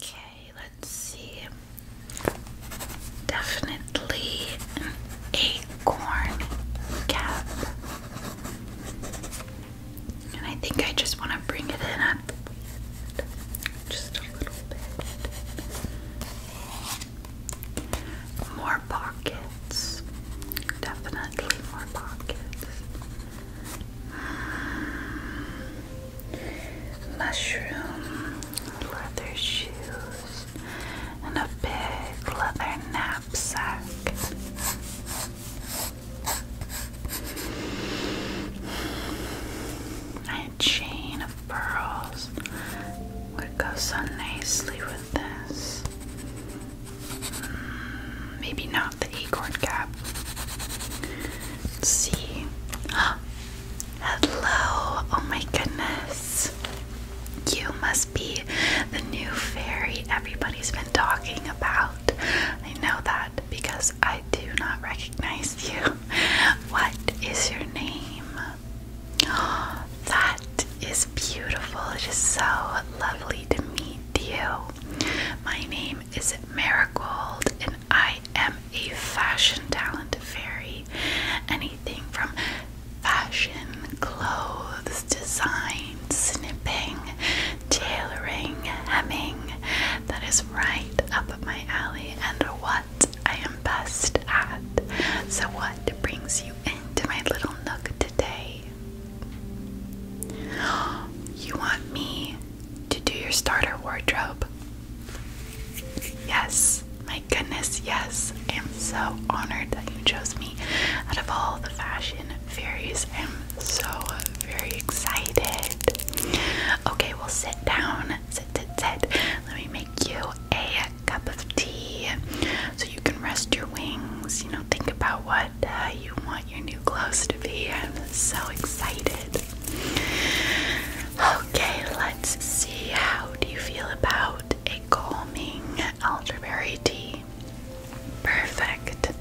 Okay, let's see. Definitely an acorn cap. And I think I just want to bring it in at Just a little bit. More pockets. Definitely more pockets. Mushroom, leather shoes, and a big leather knapsack. A chain of pearls would go so nicely with this. Mm, maybe not the acorn cap. let see. Hello! Oh my goodness. You must be the new fairy everybody's been talking about. I know that because I do not recognize you. What is your name? Oh, that is beautiful. It is so lovely to meet you. My name is it Marigold, and I am a fashion talent fairy. Anything from fashion, clothes, design, snipping, tailoring, hemming. That is right up my alley and what I am best at. So, what brings you into my little nook today? You want me to do your starter wardrobe? Yes, my goodness, yes. I am so honored that you chose me out of all the fashion fairies. I am so very excited. Okay, we'll sit down. Sit, sit, sit. Let me make you a cup of tea so you can rest your wings. You know, think about what uh, you want your new clothes to be. I'm so excited. Okay, let's see. How do you feel about a calming elderberry tea? Perfect.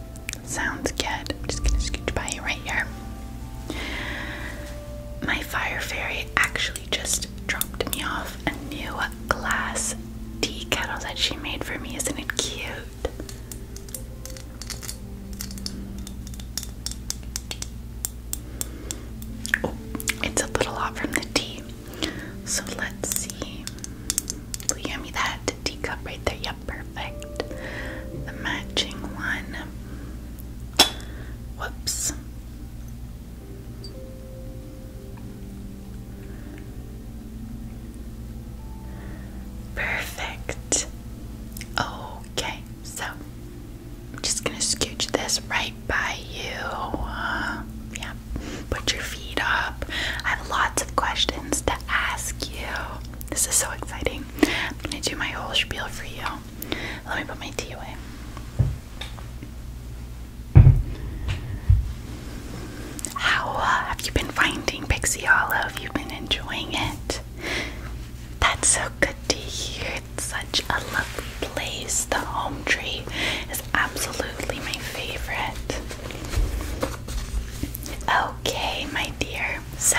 Sounds good. I'm just gonna scooch by you right here. My fire fairy actually just dropped me off a new glass tea kettle that she made for me. Isn't it cute? Oh, it's a little hot from the tea. So let's see. Will you hand me right there? Yep, perfect. The matching one. Whoops. Perfect. Oh, Okay, so I'm just gonna scooch this right by you. Uh, yeah, put your feet up. I have lots of questions to ask you. This is so exciting. I'm gonna do my whole spiel for you. Let me put my tea away. How uh, have you been finding Pixie Olive? you been enjoying it. That's so good to hear. It's such a lovely place. The home tree is absolutely my favorite. Okay, my dear. So,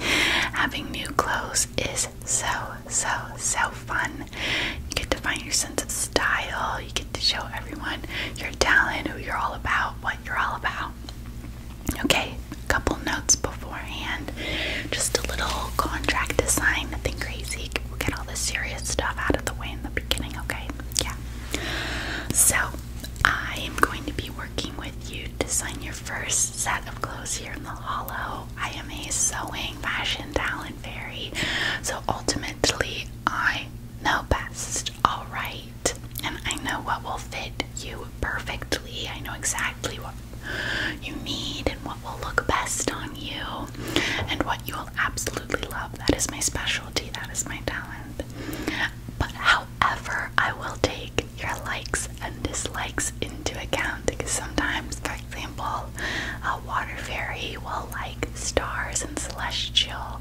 having new clothes is so, so, so fun. You get to find your sense of style, you get to show everyone your talent, who you're all about, what you're all about. Okay, a couple notes beforehand. Just a little contract to sign, nothing crazy. We'll get all the serious stuff out of the way in the beginning, okay? Yeah. So, I am going to be working with you to sign your first set of clothes here in the hollow. I am a sewing fashion talent fairy, so ultimately, I know best. All right, and I know what will fit you perfectly. I know exactly what you need and what will look best on you and what you will absolutely love. That is my specialty, that is my talent. But however, I will take your likes and dislikes into account because sometimes, for example, a water fairy will like stars and celestial,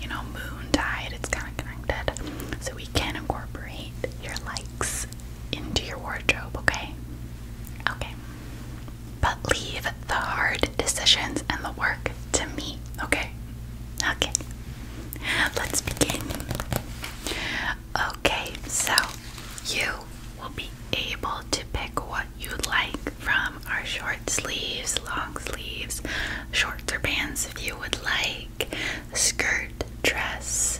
you know, moon tide, it's kind of connected. So we can incorporate your likes into your wardrobe, okay? Okay. But leave the hard decisions and the work to me, okay? Okay. Let's begin. Okay, so you will be able to pick what you like from our short sleeves, long sleeves, shorts or pants, if you would like skirt, dress,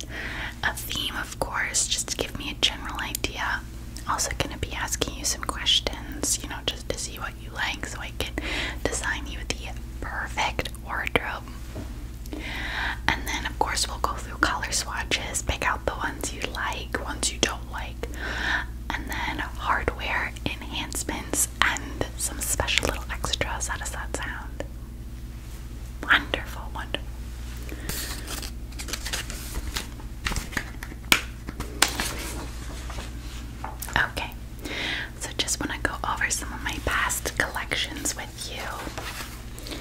a theme, of course, just to give me a general idea. Also, gonna be asking you some questions, you know, just to see what you like so I can design you the perfect wardrobe. And then, of course, we'll go through color swatches, pick out the ones you like, ones you don't like, and then hardware enhancements and some special little extras. How does that sound? Wonderful, wonderful. Okay, so just want to go over some of my past collections with you.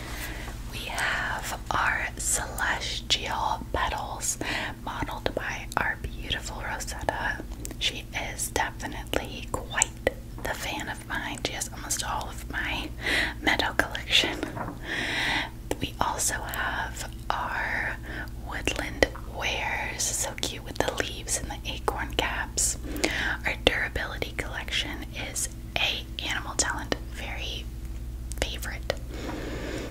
We have our celestial petals modeled by our beautiful Rosetta. She is definitely quite the fan of mine. She has almost all of my meadow collection. We also have our woodland wares, so cute with the leaves and the acorn caps. Our durability collection is a animal talent very favorite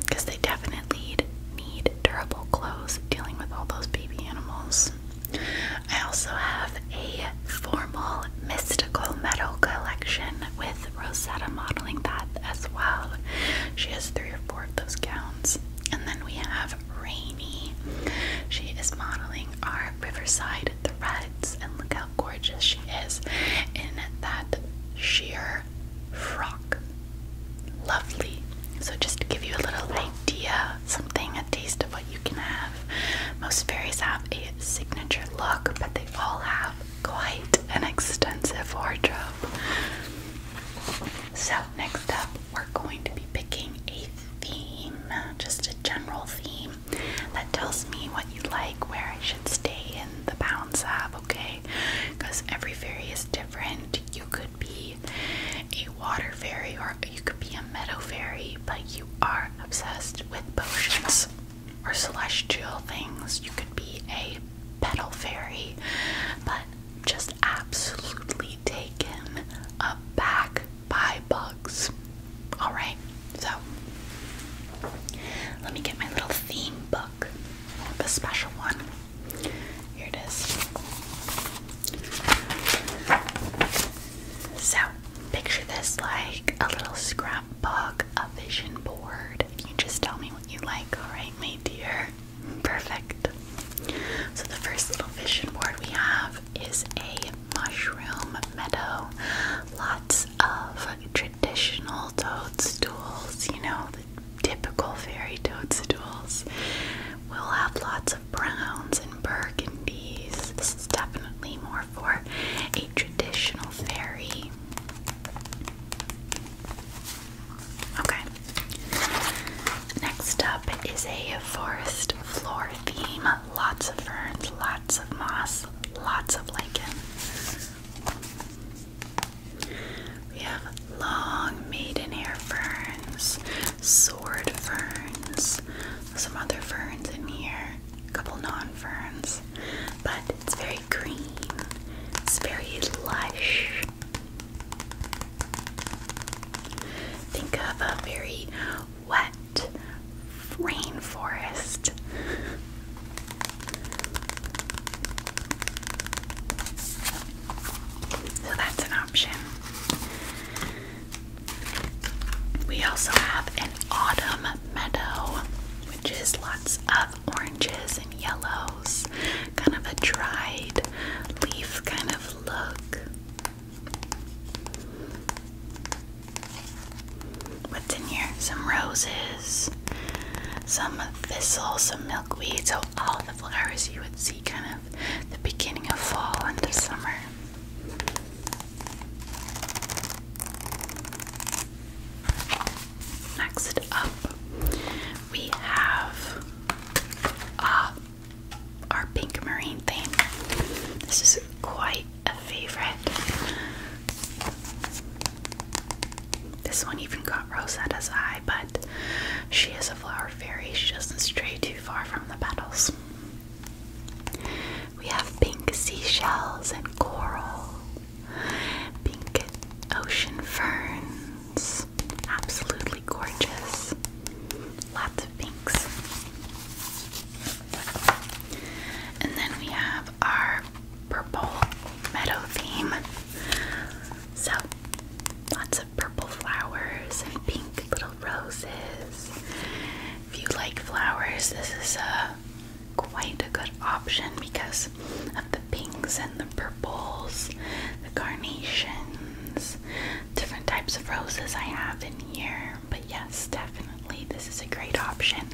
because they definitely need durable clothes dealing with all those baby animals. I also have a formal mystical metal collection with Rosetta modeling that as well. She has three or four of those gowns. And then we have Rainy. She is modeling our Riverside threads, and look how gorgeous she is in that sheer frock. Lovely. So, just to give you a little idea, something taste of what you can have. Most fairies have a signature look, but they all have quite an extensive wardrobe. So, next up, we're going to be picking a theme, just a general theme that tells me what you like, where I should stay in the bounds of, okay? Because every fairy is different. You could be a water fairy or you could be a meadow fairy, but you are obsessed with potions or celestial things. You could be a petal fairy, but just absolutely taken aback by bugs. Alright, so let me get my little theme book, the special one. Here it is. So, picture this like a little scrapbook, a vision board. You just tell me what you like, alright, my dear? Perfect. So, the first little vision board we have is a mushroom meadow. Lots of traditional toadstools, you know, the typical fairy toadstools. We'll have lots of browns and burgundies. This is definitely more for a traditional fairy. Okay. Next up is a forest floor theme. Lots of ferns, lots of moss, lots of lichen. We have long maidenhair ferns, sword ferns, some other ferns in here, a couple non ferns, but it's very green, it's very lush. Think of a very wet rainforest. So that's an option. We also have an autumn meadow, which is lots of oranges and yellows, kind of a dried leaf kind of look. What's in here? Some roses, some thistle, some milkweed. So, all the flowers you would see kind of the beginning of fall into summer. Next up, we have uh, our pink marine theme. This is quite a favorite. This one even got Rosetta's eye, but she is a flower fairy. She doesn't stray too far from the petals. We have pink seashells and coral, pink ocean ferns. Absolutely gorgeous. Lots of pinks. And then we have our purple meadow theme. So, lots of purple flowers and pink little roses if you like flowers, this is a uh, quite a good option because of the pinks and the purples, the carnations, different types of roses I have in here. But yes, definitely this is a great option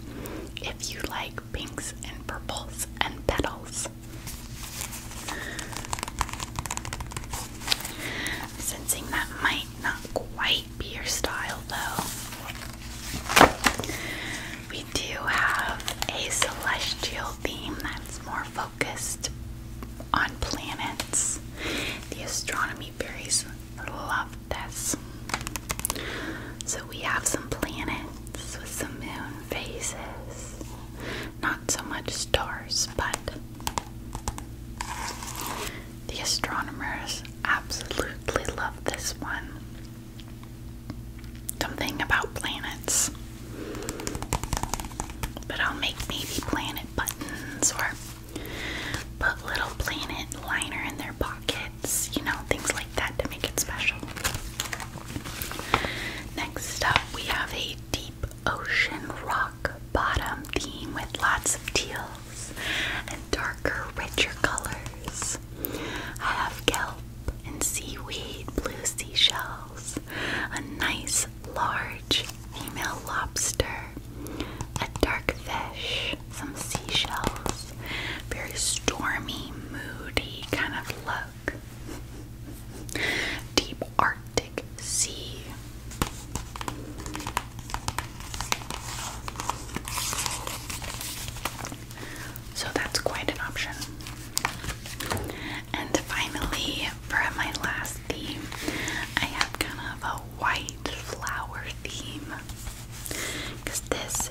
if you like pinks and purples and petals. i that might not quite be your style though. We do have a celestial theme that's more focused on planets. The astronomy berries love this. So we have some planets with some moon phases. Not so much stars, but the astronomers absolutely love this one. Something about planets. But I'll make maybe planet buttons or put little planet liner in their pockets, you know, things like that to make it special. Next up, we have a deep ocean rock bottom theme with lots of teals and darker, richer colors. I have kelp and seaweed, blue seashells, a nice large female lobster, a dark fish, some seashells, very stormy, moody kind of look, deep Arctic sea. So that's quite an option. And finally, for my last theme, I have kind of a white flower theme because this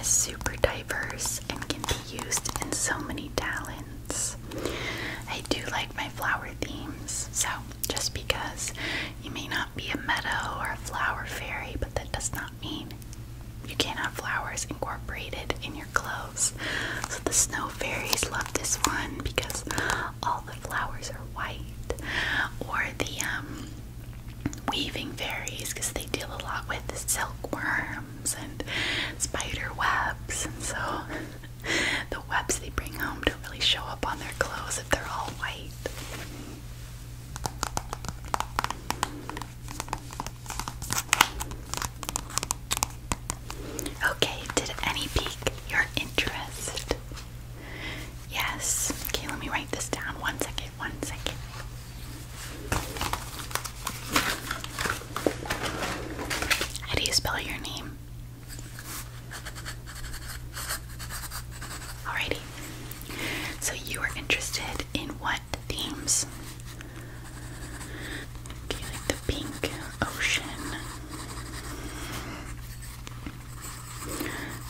is super diverse and can be used in so many talents. I do like my flower themes, so just because you may not be a meadow or a flower fairy, but that does not mean you can't have flowers incorporated in your clothes. So the snow fairies love this one because all the flowers are white. Or the um, weaving fairies because they deal a lot with silkworms and spider webs, and so the webs they bring home to really show up on their clothes if they're all white. Okay, did any pique your interest? Yes. Okay, let me write this down. One second, one second. How do you spell your name? Alrighty. So you are interested in what themes? Okay, like the pink ocean.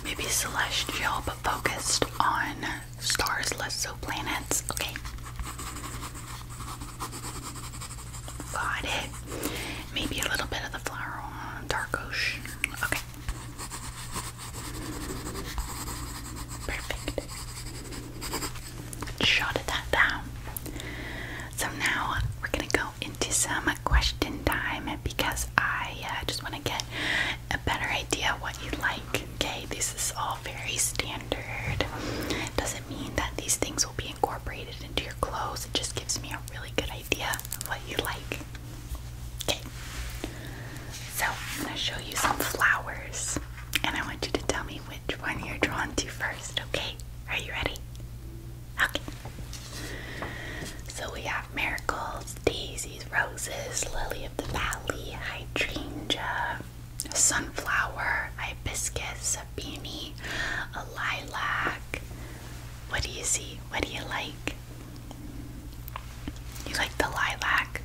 Maybe celestial, but focused on stars, less so planets. Okay. Got it. Maybe a little bit of the flower dark ocean. Okay. Perfect. Shot that down. So now we're gonna go into some question time because I uh, just want to get a better idea what you like. Okay, this is all very standard. Doesn't mean that these things will be incorporated into your clothes. It just gives me a really good what you like. Okay. So I'm gonna show you some flowers and I want you to tell me which one you're drawn to first, okay? Are you ready? Okay. So we have miracles, daisies, roses, lily of the valley, hydrangea, sunflower, hibiscus, beanie, a lilac. What do you see? What do you like? You like the lilac,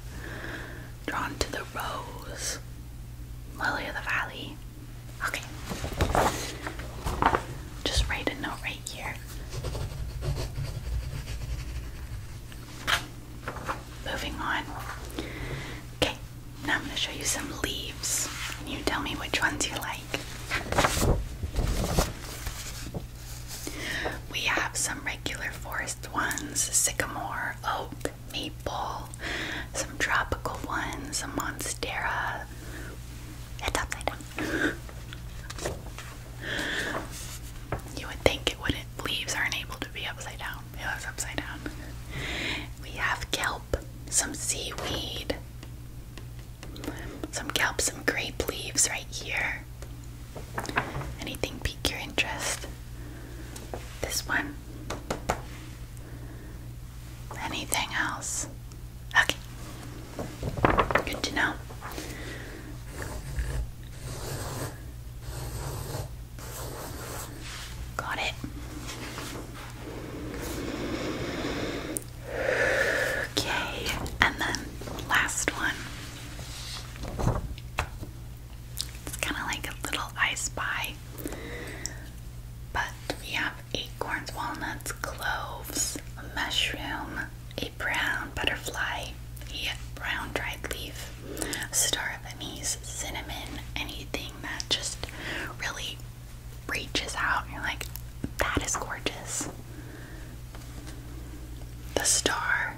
drawn to the rose, lily of the valley. Okay. Just write a note right here. Moving on. Okay, now I'm going to show you some leaves. you tell me which ones you like. We have some regular forest ones sycamore, oak, maple, some tropical ones, a monstera. It's upside down. You would think it wouldn't, leaves aren't able to be upside down. It was upside down. We have kelp, some seaweed, some kelp, some grape leaves right here. Anything pique your interest? This one? Anything else? Okay. Good to know. Got it. Okay, and then last one. It's kind of like a little I Spy, but we have acorns, walnuts, cloves, a mushroom, a brown butterfly, a brown dried leaf, star anise, cinnamon, anything that just really reaches out you're like, that is gorgeous the star,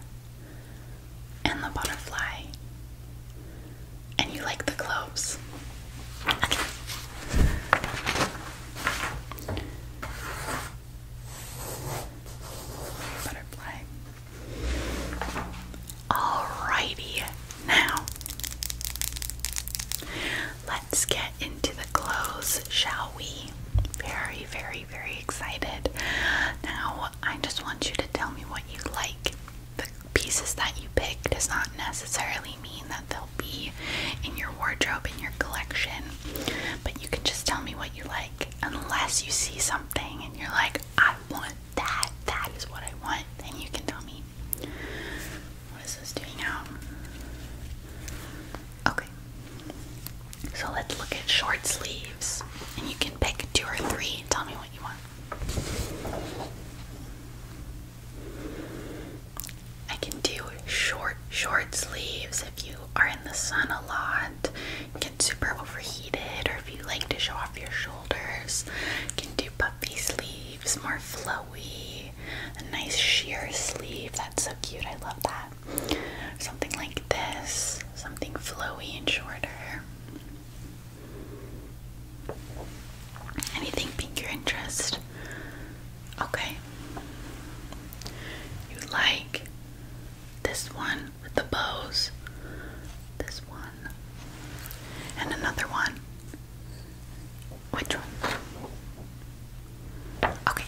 and the butterfly. And you like the globes. Butterfly. Alrighty, now Let's get into the clothes, shall we? Very, very, very excited. Now, I just want you to tell me what you like. The pieces that you pick does not necessarily mean that they'll be in your wardrobe, in your collection, but you can just tell me what you like. Unless you see something and you're like, I want that, that is what I want, then you can tell me. What is this doing now? Okay. So let's look at short sleeves. And you can pick two or three and tell me what you want. I can do short, short sleeves if you are in the sun a lot, get super overheated, or if you like to show off your shoulders. You can do puffy sleeves, more flowy, a nice sheer sleeve. That's so cute. I love that. Something like this, something flowy and shorter. Anything pique your interest? Okay. You like this one with the bows, this one, and another one. Which one? Okay.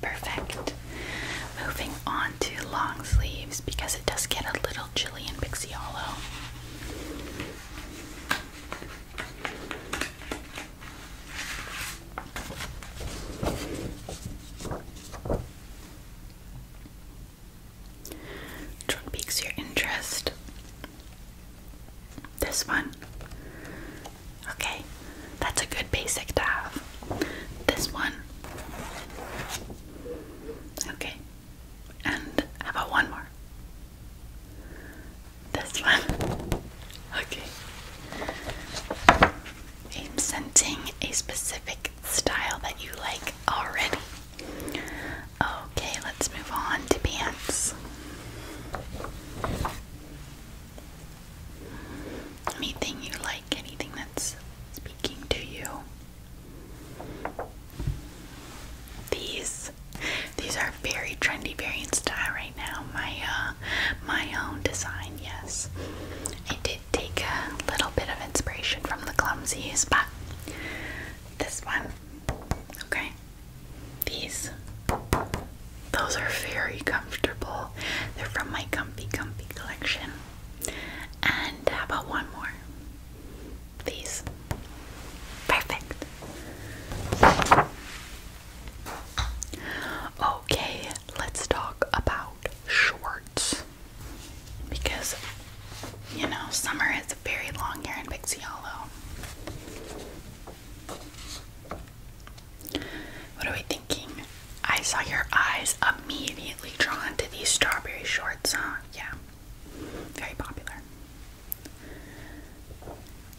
Perfect. Moving on to long sleeves because it does get a little chilly in Pixie Hollow. Which your interest? This one. Okay, that's a good basic to have. This one. Okay, and how about one more? This one. Okay. I'm sensing a specific style that you like already. Okay, let's move on to pants. Anything you like, anything that's speaking to you. These these are very trendy, very in style right now. My uh, my own design, yes. I did take a little bit of inspiration from the clumsies, but this one, okay, these. Those are very comfortable. They're from my Comfy Comfy collection. And how about one more? These. Perfect. Okay, let's talk about shorts. Because, you know, summer is very long here in Pixie Hollow. What are we thinking? I saw your eyes immediately drawn to these strawberry shorts, huh? Yeah. Very popular.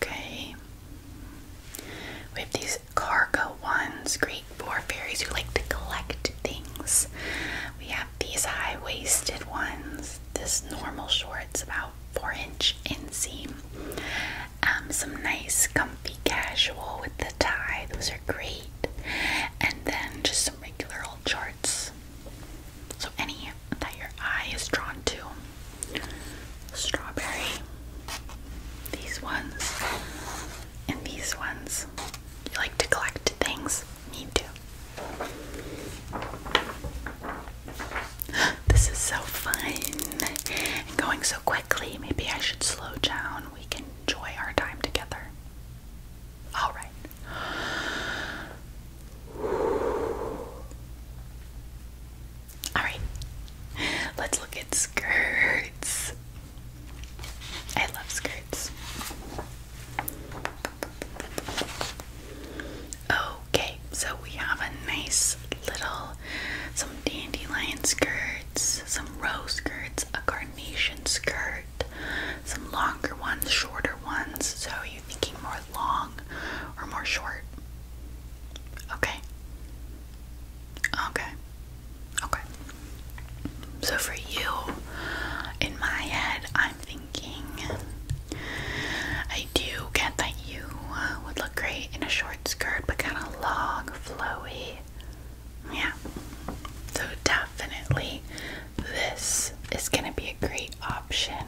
Okay. We have these cargo ones, great for fairies who like to collect things. We have these high waisted ones. This normal short's about 4 inch inseam. Um, some nice, comfy casual with the tie, those are great. And then just some regular old shorts. So, any that your eye is drawn to. Strawberry. These ones. And these ones. You like to collect things? Me too. This is so fun and going so quickly. Maybe I should slow down. We can enjoy our time together. All right. All right. Let's look at skirts. I love skirts. Okay, so we have a nice little some dandelion skirts, some rose skirts, a carnation skirt, some longer ones, shorter ones. So are you thinking more long or more short? Okay. Okay. Okay. So for you, in my head, I am i thinking I do get that you uh, would look great in a short skirt, but kind of long, flowy. Yeah. So definitely this is gonna be a great option.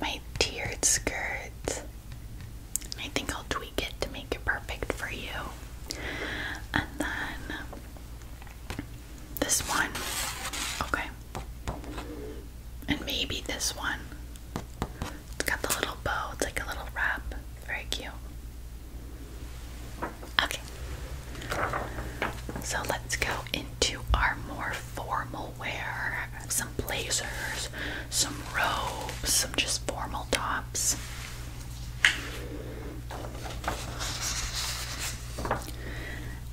My tiered skirt. I think I'll tweak it to make it perfect for you. And then this one. Okay. And maybe this one. It's got the little bow, it's like a little wrap. Very cute. Okay. So let's go into our more formal wear. Some blazers, some robes, some just formal tops.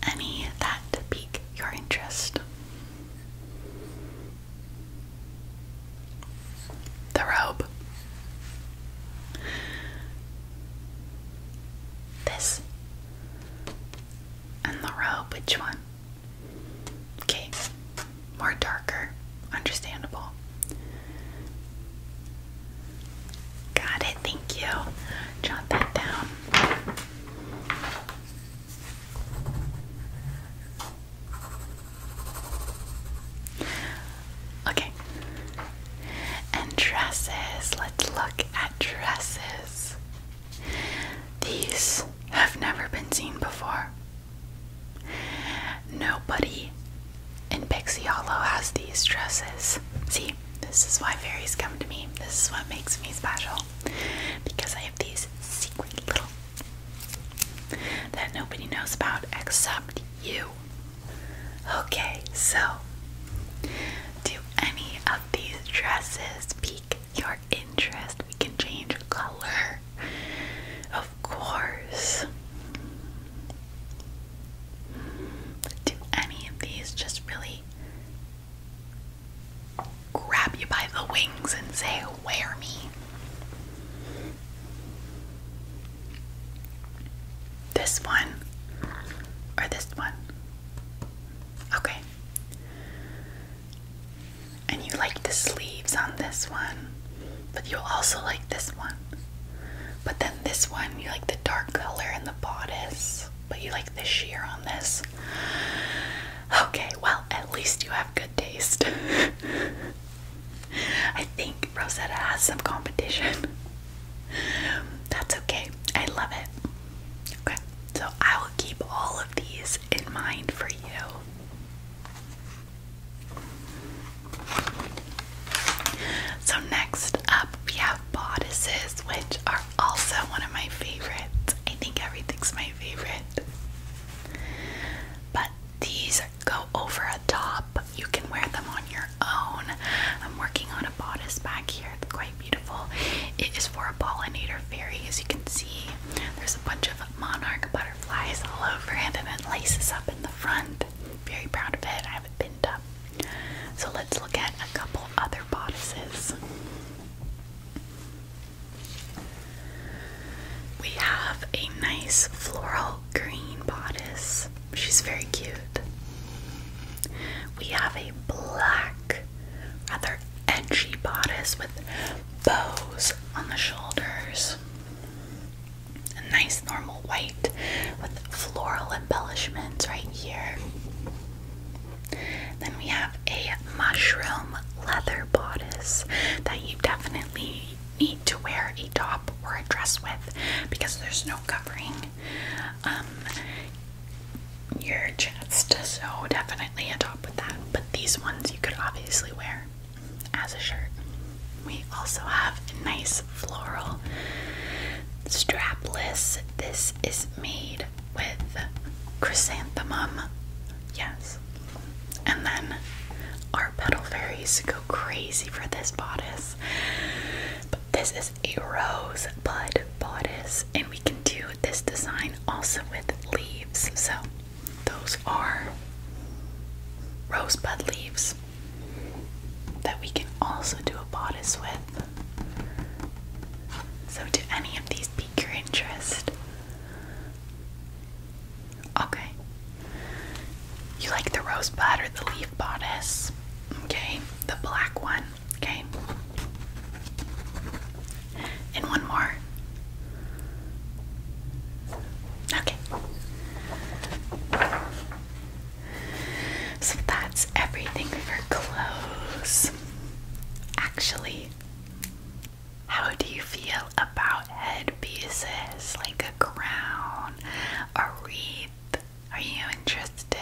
Any that pique your interest. The robe. This. And the robe, which one? Okay, more darker, understandable. Got it, thank you. Jot that down. Okay. And dresses. Let's look at dresses. These have never been seen before. Nobody in Pixie Hollow has these dresses. See, this is why fairies come to me. This is what makes me special. Because I these secret little that nobody knows about except you. Okay, so do any of these dresses pique your interest? We can change color, of course. Do any of these just really grab you by the wings and say, Wear me. This one or this one? Okay. And you like the sleeves on this one, but you also like this one. But then this one, you like the dark color and the bodice, but you like the sheer on this. Okay, well, at least you have good taste. I think Rosetta has some competition. That's okay. I love it. Okay, so I will keep all of these in mind for you. So, next up, we have bodices, which are also one of my favorites. I think everything's my favorite. But these go over a top. You can wear them on your own. I'm working on a bodice back here. It's quite beautiful. It is for a pollinator fairy, as you can see. There's a bunch of monarch butterflies all over and then laces up in the front. Very proud of it. I have it pinned up. So let's look at a couple other bodices. We have a nice floral green bodice. She's very cute. We have a black, rather edgy bodice with bows on the shoulders. A nice normal white with floral embellishments right here. Then we have a mushroom leather bodice that you definitely need to wear a top or a dress with because there's no covering um, your chest, so definitely a top with that. But these ones you could obviously wear as a shirt. We also have a nice floral strapless. This is made with chrysanthemum. Yes. And then our petal fairies go crazy for this bodice. this is a rose bud bodice, and we can do this design also with leaves. So those are rosebud leaves that we can also do a bodice with. So, do any of these pique your interest? Okay. You like the rosebud or the leaf bodice? Okay, the black one. Okay. And one more. Okay. So that's everything for clothes. Actually, how do you feel about headpieces like a crown, a wreath? Are you interested?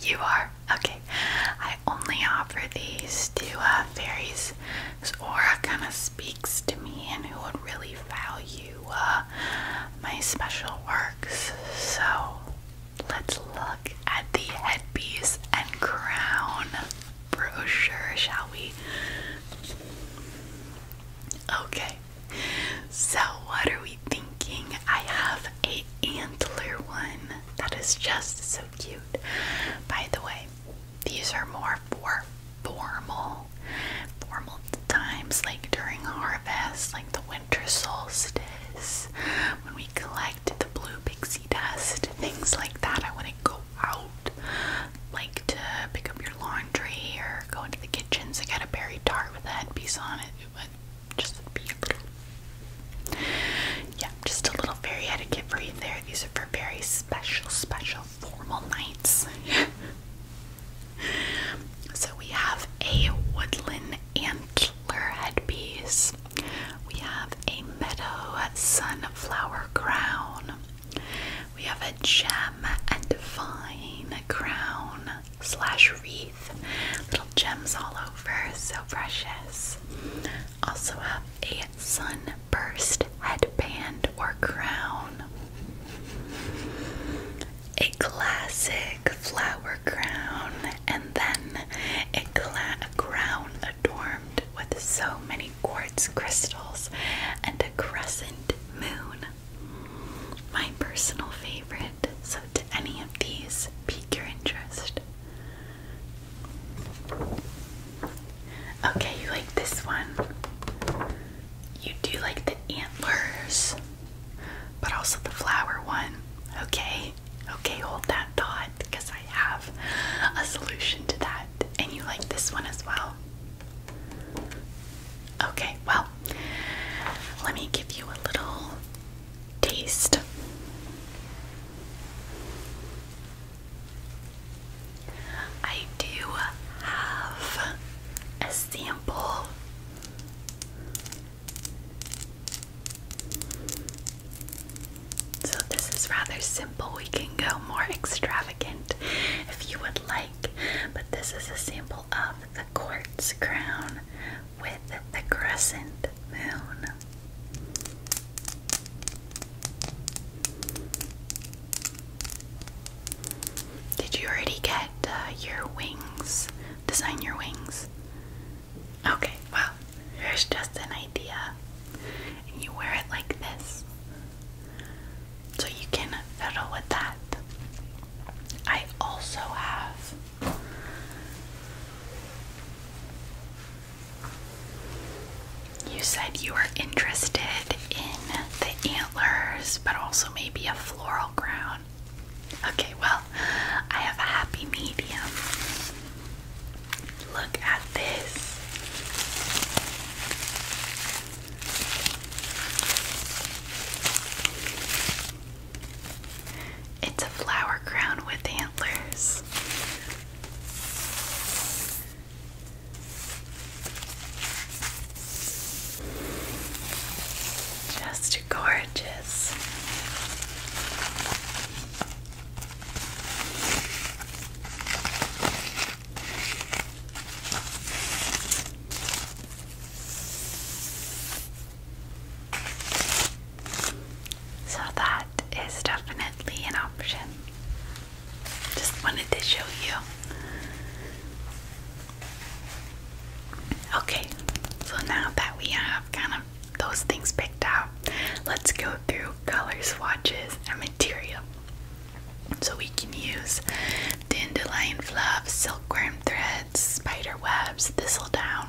You are? Okay. I only offer these to uh, fairies because aura kind of speaks to me and who would really value uh, my special works. So Let's look at the headpiece and crown brochure, shall we? Okay, so what are we thinking? I have a antler one that is just so cute. By the way, these are more for formal, formal times like during harvest, like the winter solstice, when we collect the blue pixie dust, things like that. I want to go out like to pick up your laundry or go into the kitchen to get a berry tart with that headpiece on it. It would just be a little, yeah, just a little fairy etiquette for you there. These are for very special, special formal nights. so we have a woodland antler headpiece. We have a meadow sunflower crown. We have a gem and vine crown slash wreath. Little gems all over, so precious. Also have a sunburst headband or crown. A classic flower crown, and then a, a crown adorned with so many quartz crystals and a crescent moon. My personal favorite, so did any of these pique your interest? Okay, you like this one. You do like the antlers, but also the flower one. Okay, okay? hold that thought because I have a solution to that. And you like this one as well? Okay, well, let me give you a little taste. I do have a sample so, this is rather simple. We can go more extravagant if you would like, but this is a sample of the quartz crown with the crescent moon. Did you already get uh, your wings? Design your wings? Okay, well, here's just an idea. And you wear it like this. So you can fiddle with that. I also have you said you were interested in the antlers, but also maybe a floral crown. Okay, well, I have a happy medium. Look at this. It's a flower crown with antlers. Just gorgeous. So that is definitely an option. Just wanted to show you. Okay, so now that we have kind those things picked out, let's go through color swatches and material. So we can use dandelion fluff, silkworm threads, spider webs, thistle down,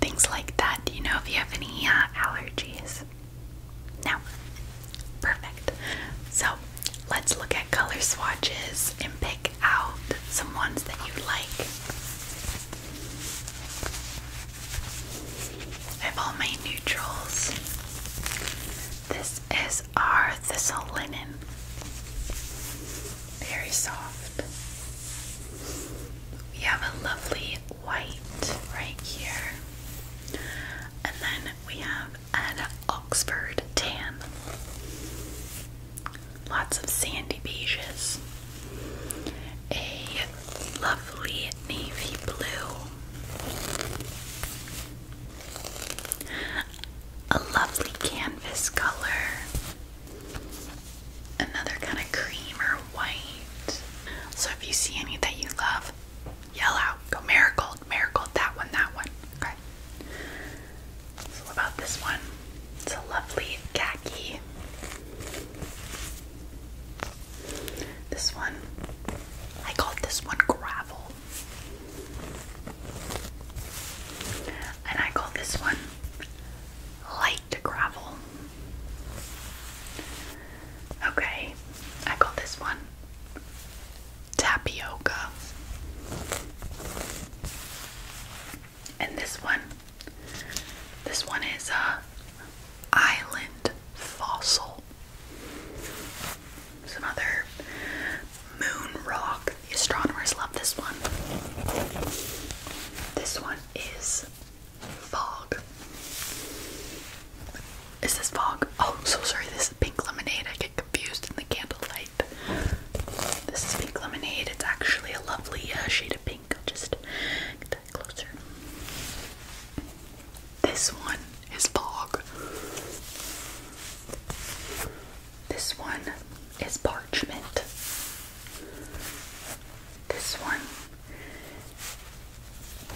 things like that. Do you know if you have any uh, allergies? No. Perfect. So let's look at color swatches and pick out some ones that you like. I have all my neutrals. This is our thistle linen. Very soft. We have a lovely white right here. And then we have an Oxford tan. Lots of sandy beiges a lovely navy blue, a lovely canvas color, another kind of cream or white. So if you see any that you love, yell out, go marigold, marigold, that one, that one. Okay. what about this one? It's a lovely khaki. This one, I called this one gravel. And I call this one light gravel. Okay, I call this one tapioca. And this one, this one is uh, island fossil. Some other moon rock. astronomers love this one. This one is fog. Is this fog? Oh, so sorry. This is pink lemonade. I get confused in the candlelight. This is pink lemonade. It's actually a lovely uh, shade of pink. just closer. This one is fog. This one is parchment. This one.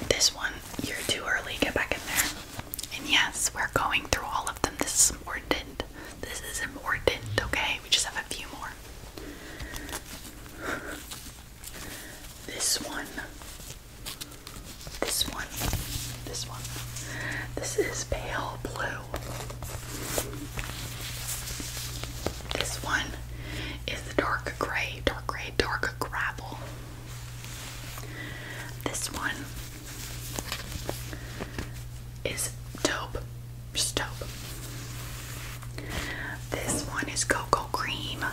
This one, you're too early. Get back in there. And yes, we're going through all of them. This is important. This is important, okay? We just have a few more. This one. This one. This one. This is pale blue. This one is dark gray, dark gray, dark gravel. This one is dope, just taupe. This one is cocoa cream.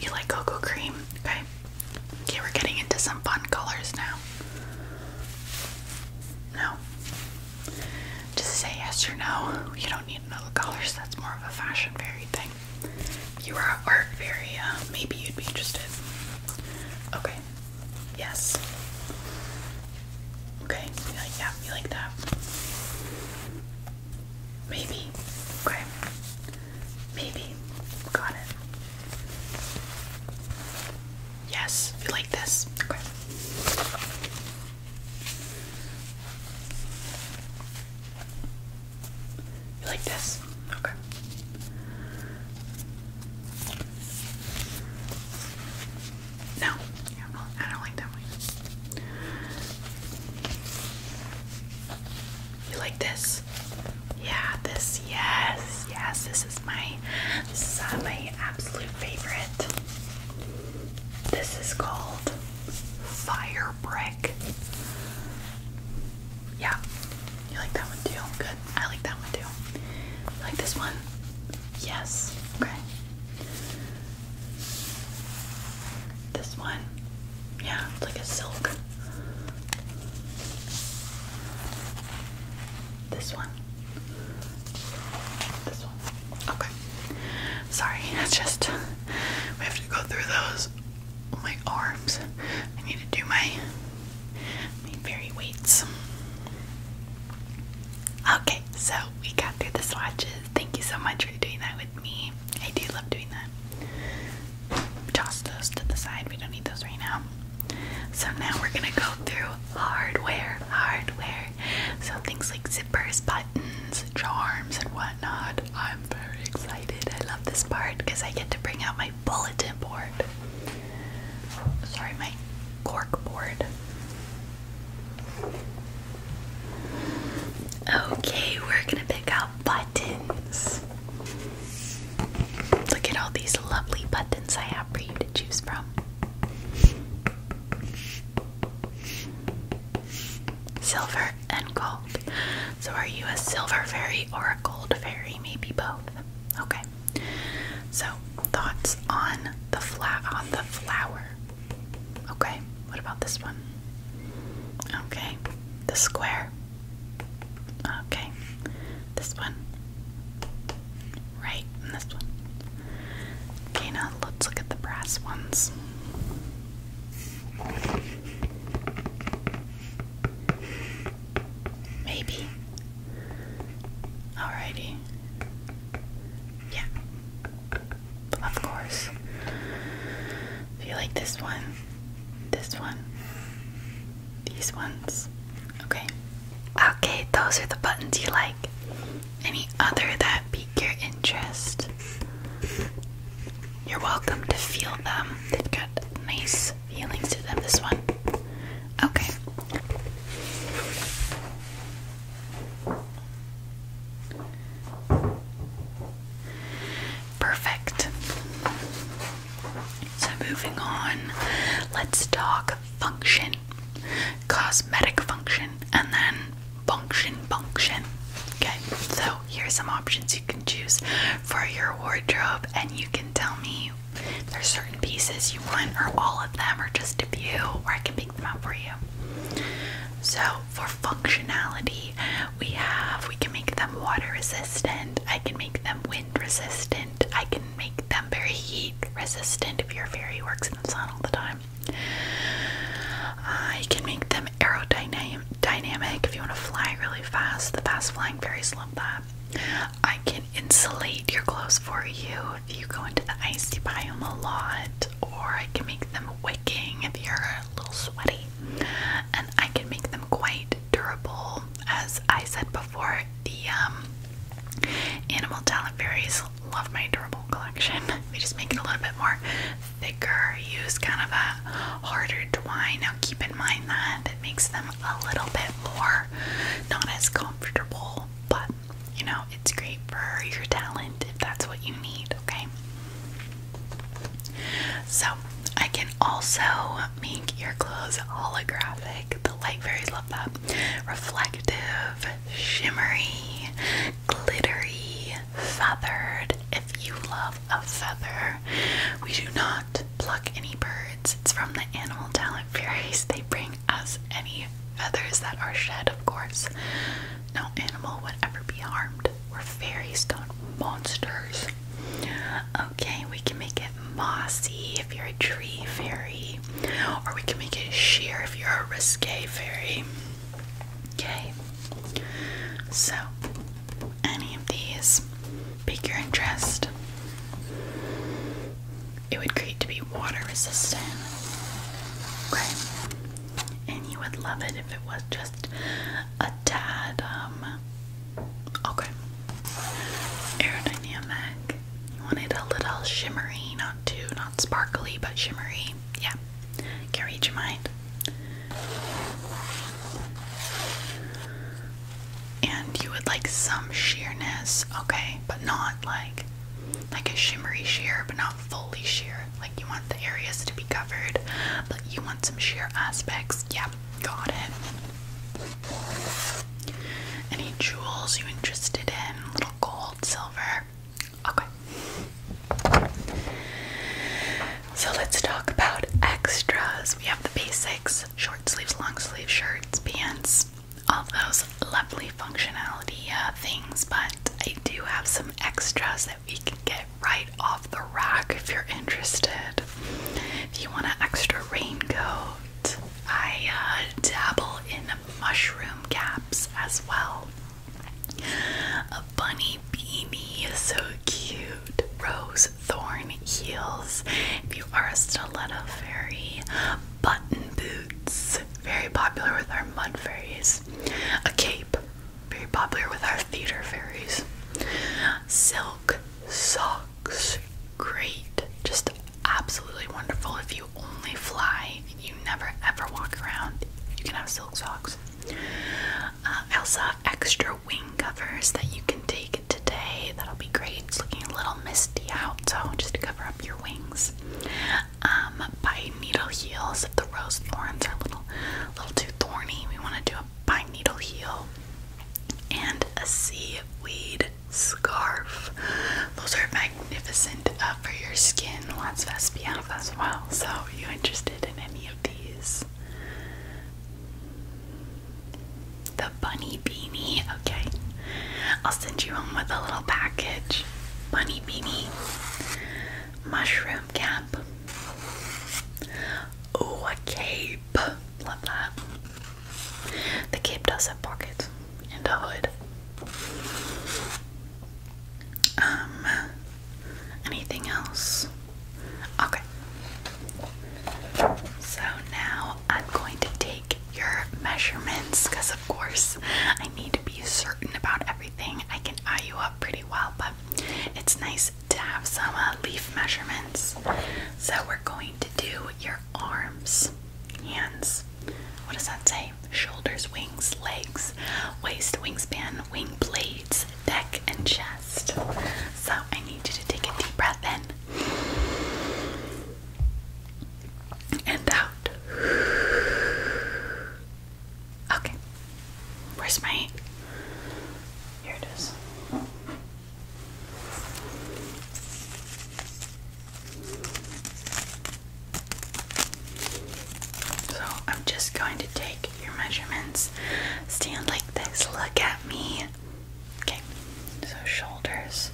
You like cocoa cream? Okay. Okay, we're getting into some fun colors now. No. Just say yes or no. You don't need another colors. That's more of a fashion fairy thing. you were art fairy, uh, maybe you'd be interested. Okay. Yes. Okay, yeah, you like that. Maybe. Okay. Maybe. Got it. Yes, you like this. Okay. You like this? Okay. No, I don't like that one. You like this? Yeah, this. Yes, yes. This is my, this is uh, my absolute favorite. This is called Fire Brick. Yeah, you like that one too. Good. I like that one too. like this one? Yes. Okay. This one, yeah, it's like a silk. This one, this one. Okay, sorry, it's just we have to go through those. My arms. I need to do my my very weights. Okay, so we got through the swatches. Thank you so much for doing that with me. I do love doing that. Toss those to the side. We don't need those right now. So now we're gonna go through hardware, hardware. So things like zippers, buttons, charms, and whatnot. I'm very excited. I love this part because I get to bring out my bulletin board. Sorry, my cork board. Okay, we're gonna pick out buttons. Look at all these lovely buttons I have for you to choose from. Silver and gold. So, are you a silver fairy or a gold fairy? Maybe both. Okay. So, thoughts on the flat on the flower. Okay, what about this one? Okay, the square. Okay, this one. Right, and this one. Okay, now let's look at the brass ones. Maybe. Alrighty. Yeah of course. If you like this one, this one, these ones. Okay. Okay, those are the buttons you like. Any other that pique your interest? You're welcome to feel them. They've got nice feelings to them, this one. Okay. Perfect. So, moving on, let's talk function, cosmetic function, and then function, function. Okay, so here's some options you can choose for your wardrobe, and you can tell me there's certain pieces you want, or all of them, or just a few, or I can be pick for you. So for functionality, we have we can make them water resistant, I can make them wind resistant, I can make them very heat resistant if your fairy works in the sun all the time. I can make them aerodynamic dynamic if you want to fly really fast. The fast flying fairies love that. I can insulate your clothes for you if you go into the icy biome a lot or I can make them wicking if you're a little sweaty. And I can make them quite durable. As I said before, the um, animal talent berries love my durable collection. They just make it a little bit more thicker, use kind of a harder twine. Now keep in mind that it makes them a little bit more not as comfortable, but you know, it's great for your talent if that's what you need, okay? So, I can also make your clothes holographic. The light fairies love that. Reflective, shimmery, glittery, feathered. If you love a feather, we do not pluck any birds. It's from the animal talent fairies. They bring us any feathers that are shed, of course. No animal would ever be harmed. We're fairy stone monsters. Okay, we can make it mossy if you're a tree fairy, or we can make it sheer if you're a risque fairy. Okay, so any of these pique your interest. It would create to be water resistant. Okay, and you would love it if it was just a tad, um, okay, aerodynamic. You a little shimmery, not too, not sparkly, but shimmery. Yeah, can read your mind. And you would like some sheerness, okay, but not like like a shimmery sheer, but not fully sheer. Like you want the areas to be covered, but you want some sheer aspects. Yeah, got it. Any jewels you interested in? Little gold, silver. Okay. So let's talk about extras. We have the basics: short sleeves, long sleeve shirts, pants, all those lovely functionality uh, things. But I do have some extras we can get right off the rack if you're interested. If you want an extra raincoat, I uh, dabble in mushroom caps as well. A bunny beanie is so cute. Rose thorn heels. If you are a stiletto fairy, button boots. Very popular with our mud fairies. A cape very popular with our theater fairies. Silk socks, great, just absolutely wonderful. If you only fly, you never ever walk around, you can have silk socks. Uh, I have extra wing covers that you can take today. That'll be great. It's looking a little misty out, so just to cover up your wings um, pine needle heels if the rose thorns are a little, little too thorny. We want to do a by needle heel and a seaweed scarf. Those are magnificent uh, for your skin. Lots of SPF as well. So, are you interested in any of these? The bunny beanie. Okay. I'll send you home with a little package. Bunny beanie. Mushroom cap. Oh, a cape. Love that. The cape does have pockets and a hood. Um, anything else? Okay. So now I'm going to take your measurements because, of course, I need to be certain about everything. I can eye you up pretty well, but it's nice to have some uh, leaf measurements. So we're going to do your arms, hands. What does that say? Shoulders, wings, legs, waist, wingspan, wing blades, neck, and chest. So I need you to take a deep breath in and out. Okay. Where's my. Here it is. So I'm just going to take your measurements, stand like this, look at me. Okay, so shoulders.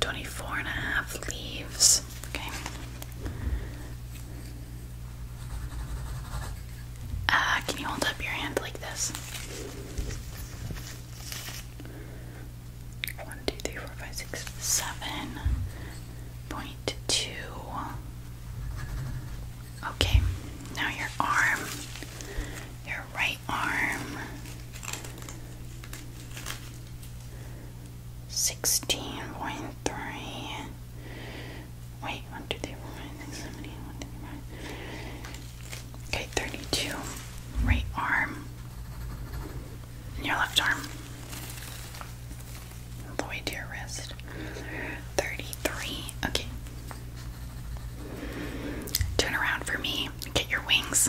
24 and a half leaves. Okay. Uh, can you hold up your hand like this? One, two, three, four, five, six, seven point two. Okay, now your arm, your right arm sixteen point three. Wait, one, two, three, four, five, six, seven, eight, one, two, three, five. Okay, thirty-two. Right arm. your left arm. All your wrist. Thirty-three. Okay. Turn around for me. Get your wings.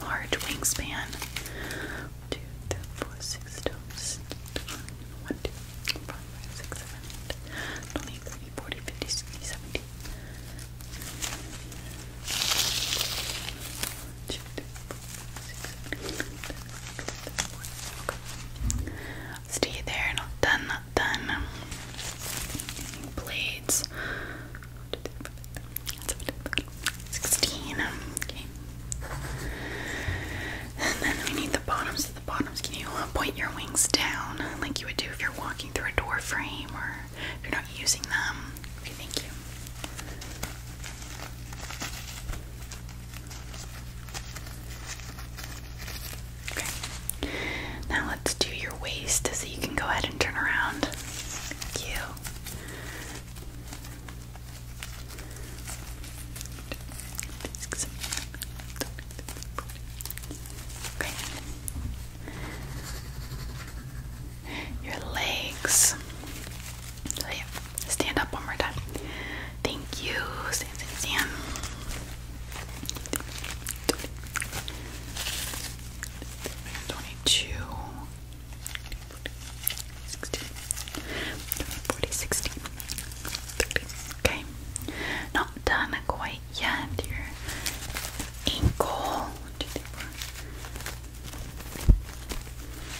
large wingspan. One, two, three, four, six, seven, eight, nine, one, two, three, four, five, six, seven, eight, 20, 30, 40, 50, 60, 70. Two, three, four, six, seven, eight, nine, ten, okay. Stay there, not done, not done. Blades. 16. Okay. And then we need the bottoms. The bottoms, can you uh, point your wings down like you would do if you're walking through a door frame or if you're not using them? Okay, thank you. Okay. Now let's do your waist so you can go ahead and turn around you. Okay. Your legs. Oh, stand up one more time. Thank you. Stand, stand, stand. 22, 16, 40, Okay, not done quite yet. Your ankle. What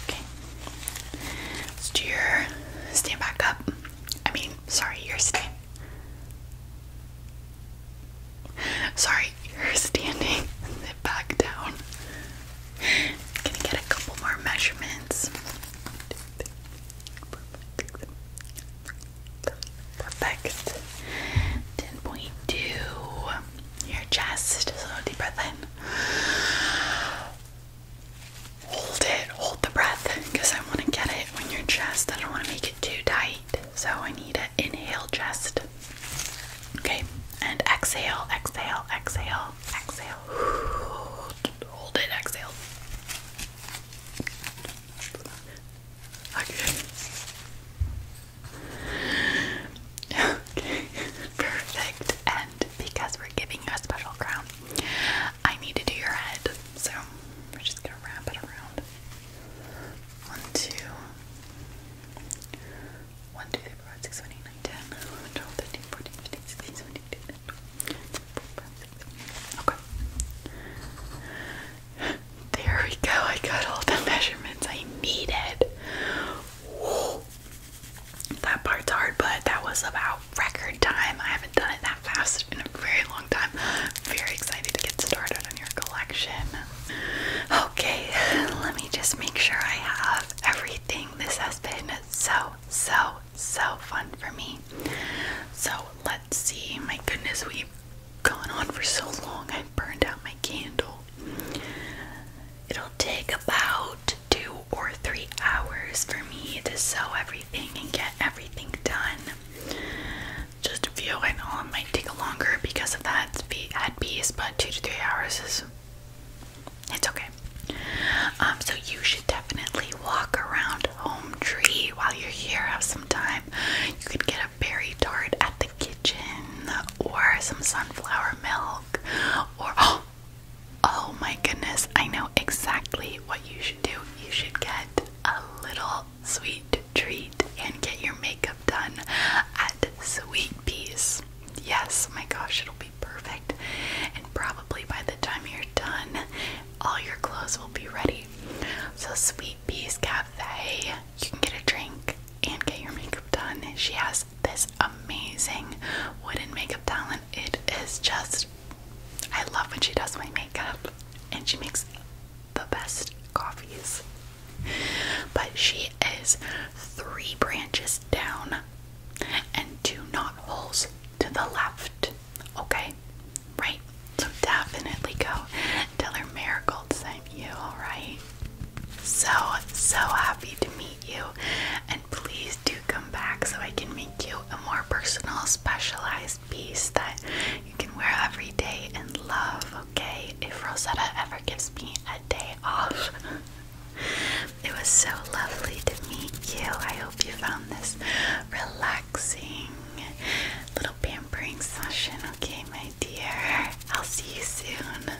Okay, let's do your stand back up. I mean, sorry, you're stand. Sorry, you're standing. Sit back down. I'm gonna get a couple more measurements. Perfect. 10.2. Your chest. So deep breath in. Hold it. Hold the breath because I want to get it when your chest. I don't want to make it too tight. So I need to inhale just Okay, and exhale, exhale, exhale, exhale. Hold it, exhale. Okay. perfect. And because we're giving a special crown, I need to do your head. So we're just gonna wrap it around. One, two, 1, 2, 3, 4, 5, 6, 7, 8, 9, 10, 11, 12, 13, 14, 15, 16, 17, 18, 19, 20, 21, 22, 23, 24, 25, 26, 27, 28. Okay. There we go. I got all the measurements I needed. Whoa. That part's hard, but that was about record time. I haven't done it that fast in a very long time. Very excited to get started on your collection. Okay, let me just make sure I have everything. This has been so, so, so fun for me. So let's see. My goodness, we've gone on for so long. I burned out my candle. It'll take about two or three hours for me to sew everything and get everything done just a few. I it might take longer because of that ad piece, but two to three hours is it's okay. Um, so you should definitely walk around Home Tree while you're here. Have some time. You could get a berry tart at the kitchen, or some sunflower milk, or oh. Oh my goodness, I know exactly what you should do. You should get a little sweet treat, and get your makeup done at Sweet Peas. Yes, my gosh, it'll be perfect. And probably by the time you're done, all your clothes will be ready. So, Sweet Peas Cafe, you can get a drink and get your makeup done. She has this amazing wooden makeup talent. It is just, I love when she does my makeup and she makes the best coffees. But she is three branches down and two knot holes to the left. Okay? Right? So definitely go tell her Marigold sent you, alright? So, so happy to meet you. And please do come back so I can make you a more personal, specialized piece that you can wear every day and love okay if Rosetta ever gives me a day off. it was so lovely to meet you. I hope you found this relaxing little pampering session, okay, my dear? I'll see you soon.